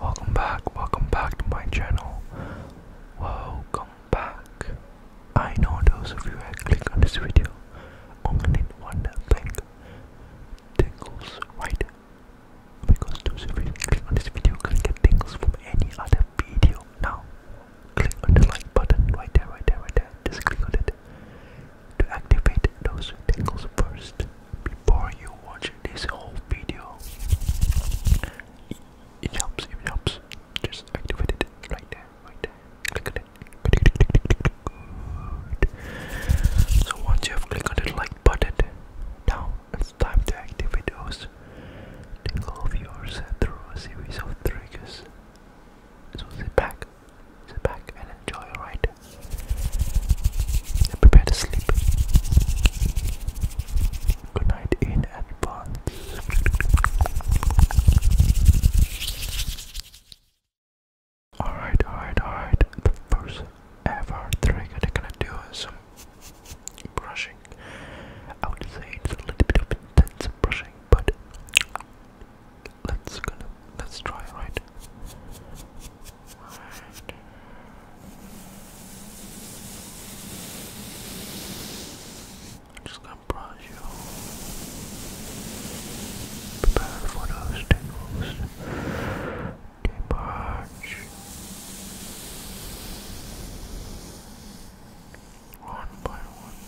Welcome back, welcome back to my channel. Welcome back. I know those of you who click on this video only one thing tingles, right? Because those of you who click on this video can get tingles from any other video. Now, click on the like button right there, right there, right there. Just click on it to activate those tingles first before you watch this whole video. It, helps, it helps. Just activate it right there, right there. Click on it. So once you have clicked on the like button, now it's time to activate those tingle viewers through a series of triggers. So sit back, sit back and enjoy your prepare to sleep. Good night in advance. Alright, alright, alright. The first ever trick I'm gonna do is some brushing. I would say it's a little bit of intense brushing, but let's going let's try right. just gonna brush you. Prepare for those tingles. Departure. One by one.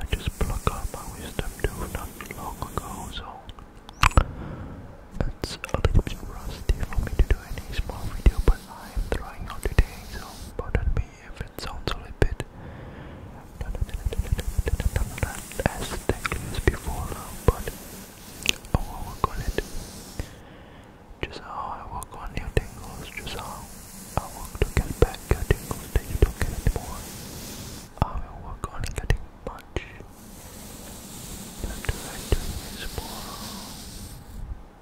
I just plucked out my wisdom tooth not long ago, so that's a little bit rusty for me to do any small video, but I'm trying out today, so pardon me if it sounds a little bit as thankless before, but oh, I will work it. Just how I work on your tingles, just how I work to get back your tingles that you don't get anymore. I will work on getting much. That I do is more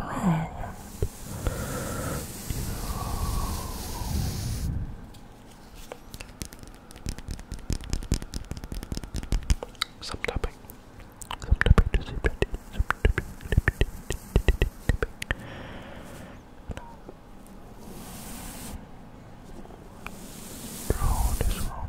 wrong. Subtopic. Subtopic to see pretty. Draw this one.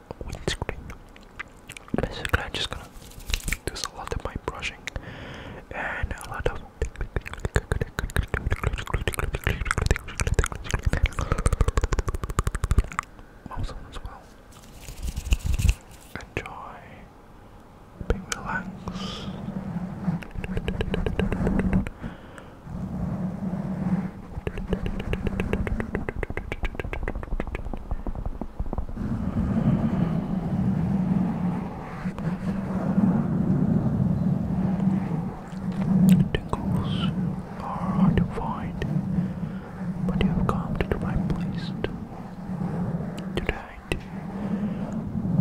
windscreen. Basically, I'm just gonna do a lot of my brushing and a lot of. Mouse on as well. Enjoy being relaxed. Tingles are hard to find, but you have come to the right place tonight.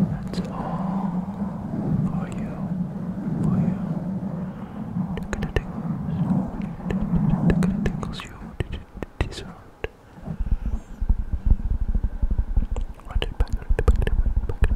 That's all for you, for you. Tickle the tingles, tickle the tingles you didn't deserve. Run it back, run it back, run it back, run it back,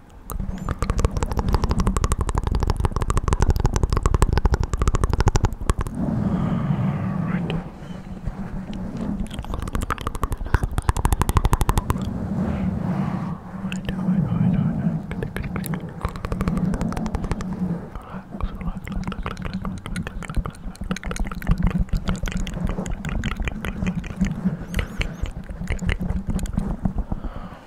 Right. Right, right, right, right, right. Relax,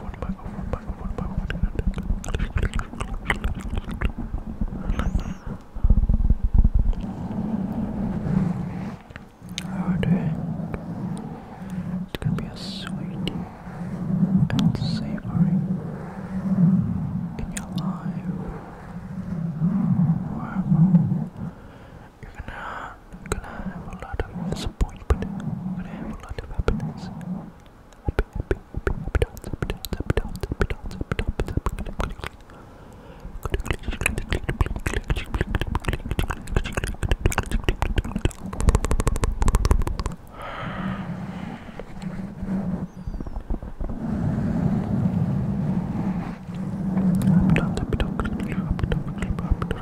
one How are you It's gonna be a sweet and savory in your life. You're gonna I are gonna have a lot of disappointment, we're gonna have a lot of happiness. Happy, happy, happy, happy dance, happy dance, happy dance, happy dance, happy dance, happy dance, happy dance.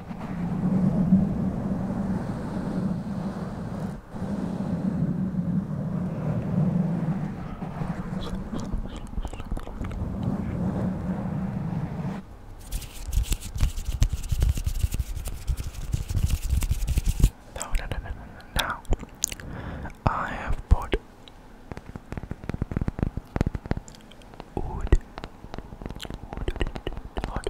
No, no, no, no, no, Now, I have put wood, wood, wood, wood, wood,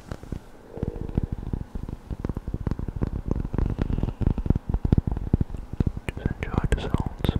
Just enjoy the sounds.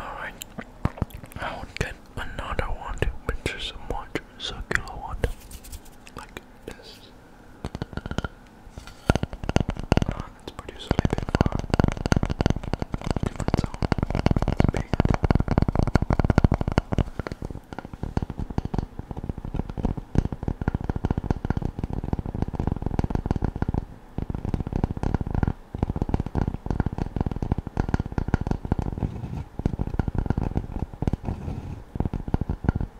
Alright, I will get another one which is a much circular one like this. Uh, it's produced a bit for different zone. It's big. It's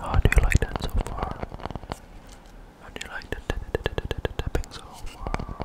How do you like that so far? How do you like the tapping so far?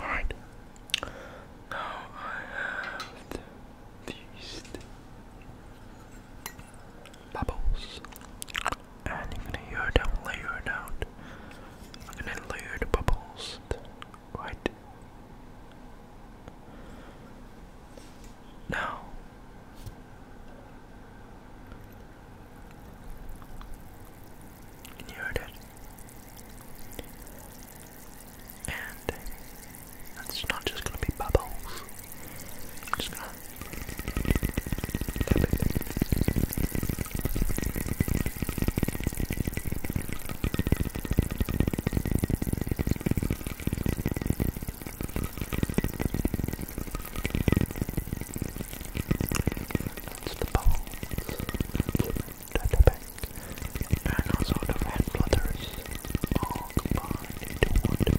Alright. Now I have these bubbles. And you're gonna hear them layered out. I'm gonna layer the bubbles right now. And you heard it. And that's not just gonna be bubbles. I'm just gonna that's the balls. At the And also the red letters all combined into one.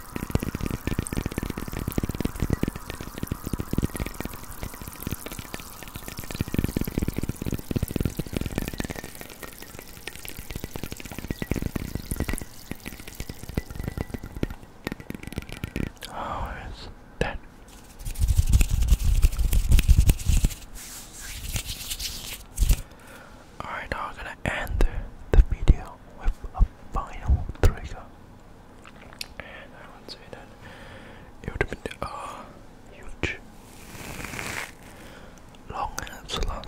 Oh, it's that. Alright, I'm gonna end the video with a final trigger. And I would say that it would have been a uh, huge long last trigger. I'm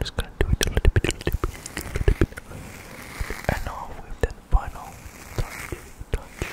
just gonna do it a little bit, a little bit, And now with that final touch, touch.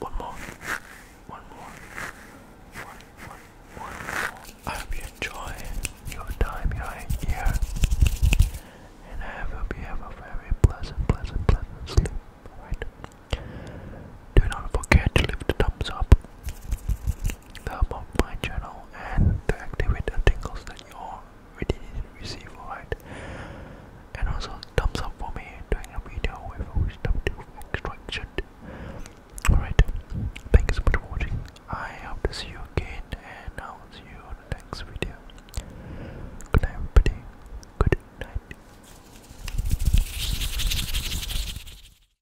One more. One more. One, one, one more. I hope you enjoy your time here. And I hope you have a very pleasant, pleasant, pleasant sleep. Alright? Do not forget to leave a thumbs up. Come on my channel and to activate the tingles that you already receive, alright? And also thumbs up for me doing a video with a wisdom tooth extraction. Alright, thank you so much for watching. I hope to see you again and I'll see you on the next video. Good night everybody. Good night.